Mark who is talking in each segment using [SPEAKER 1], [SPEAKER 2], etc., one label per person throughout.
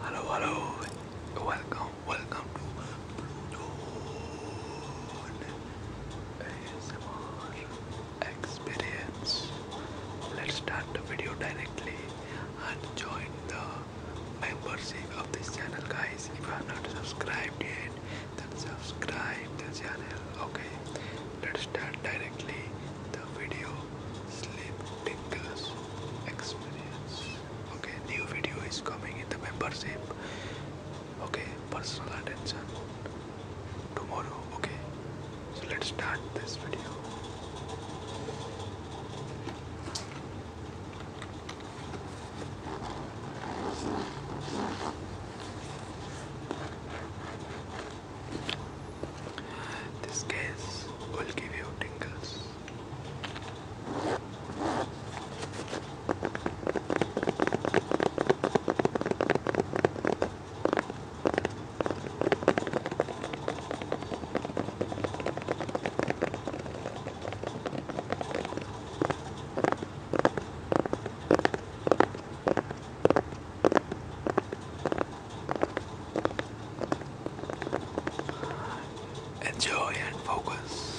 [SPEAKER 1] Hello, hello, welcome, welcome to Pluto Experience. Let's start the video directly and join the membership of this channel, guys. If you are not subscribed yet, then subscribe the channel okay let's start directly the video sleep tinkles experience okay new video is coming in the membership okay personal attention tomorrow okay so let's start this video this case will give you tingles. Enjoy and focus.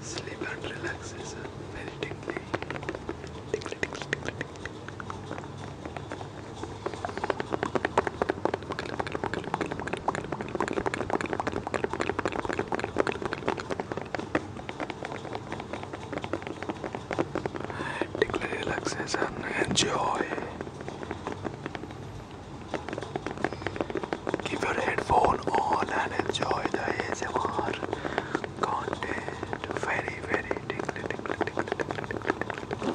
[SPEAKER 1] Sleep and relaxes very deeply. Take relaxation, enjoy. Give your headphone on and enjoy the ASMR content. Very, very tickly, tickly, tickly, tickly, tickly, tickly.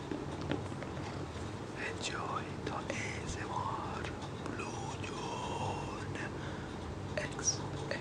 [SPEAKER 1] Enjoy the easy Blue X experience.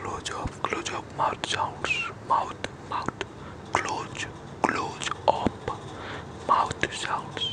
[SPEAKER 1] Close up, close up, mouth sounds, mouth, mouth, close, close up, mouth sounds.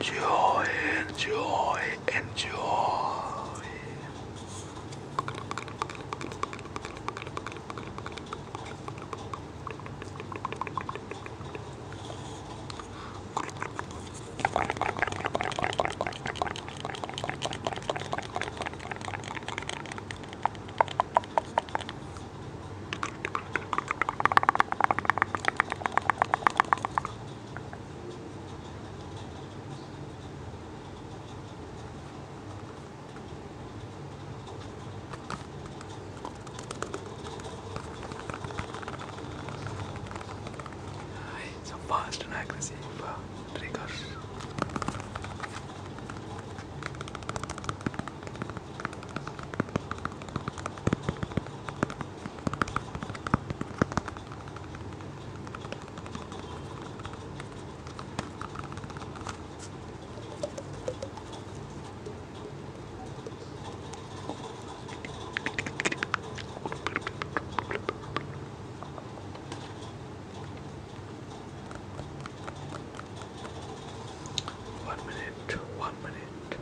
[SPEAKER 1] Enjoy, enjoy, enjoy. It's a fast and aggressive uh, trigger. One minute, one minute.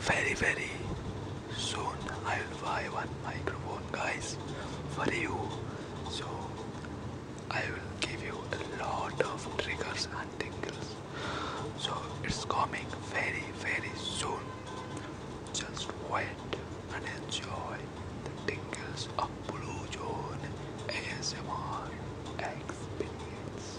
[SPEAKER 1] Very very soon I will buy one microphone guys for you so I will give you a lot of triggers and tingles so it's coming very very soon just wait and enjoy the tingles of Blue Zone ASMR experience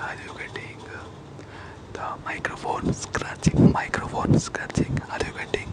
[SPEAKER 1] Are you getting the microphone scratching? Microphone scratching. Are you getting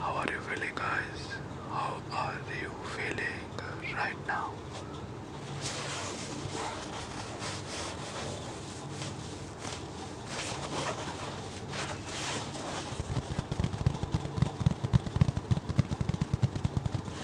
[SPEAKER 1] How are you feeling, guys? How are you feeling right now?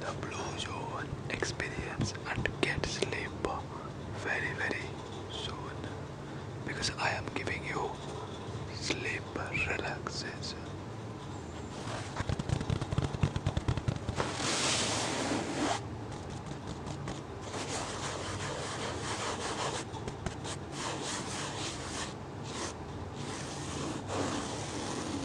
[SPEAKER 1] the blue zone experience and get sleep very very soon because I am giving you sleep relaxation.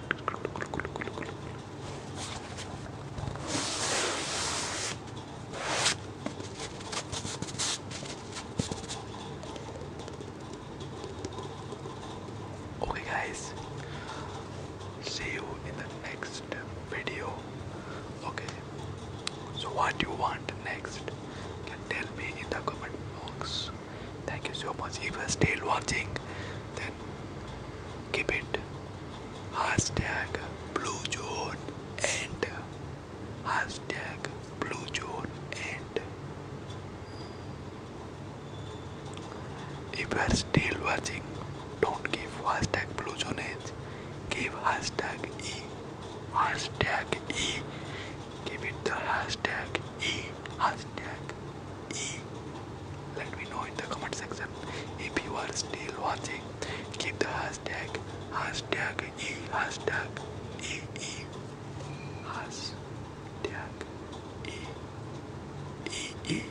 [SPEAKER 1] Okay, guys, see you in the next video. Okay, so what do you want next? You can tell me in the comment box. Thank you so much. If you're still watching, then keep it. Hashtag Blue Zone and Hashtag Blue Zone and If you are still watching, don't give hashtag Blue Zone Give hashtag E. Hashtag E. Give it the hashtag E. Hashtag E. Let me know in the comment section if you are still watching. Keep the hashtag hashtag E hashtag E E hashtag E E E.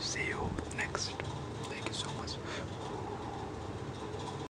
[SPEAKER 1] See you next. Thank you so much.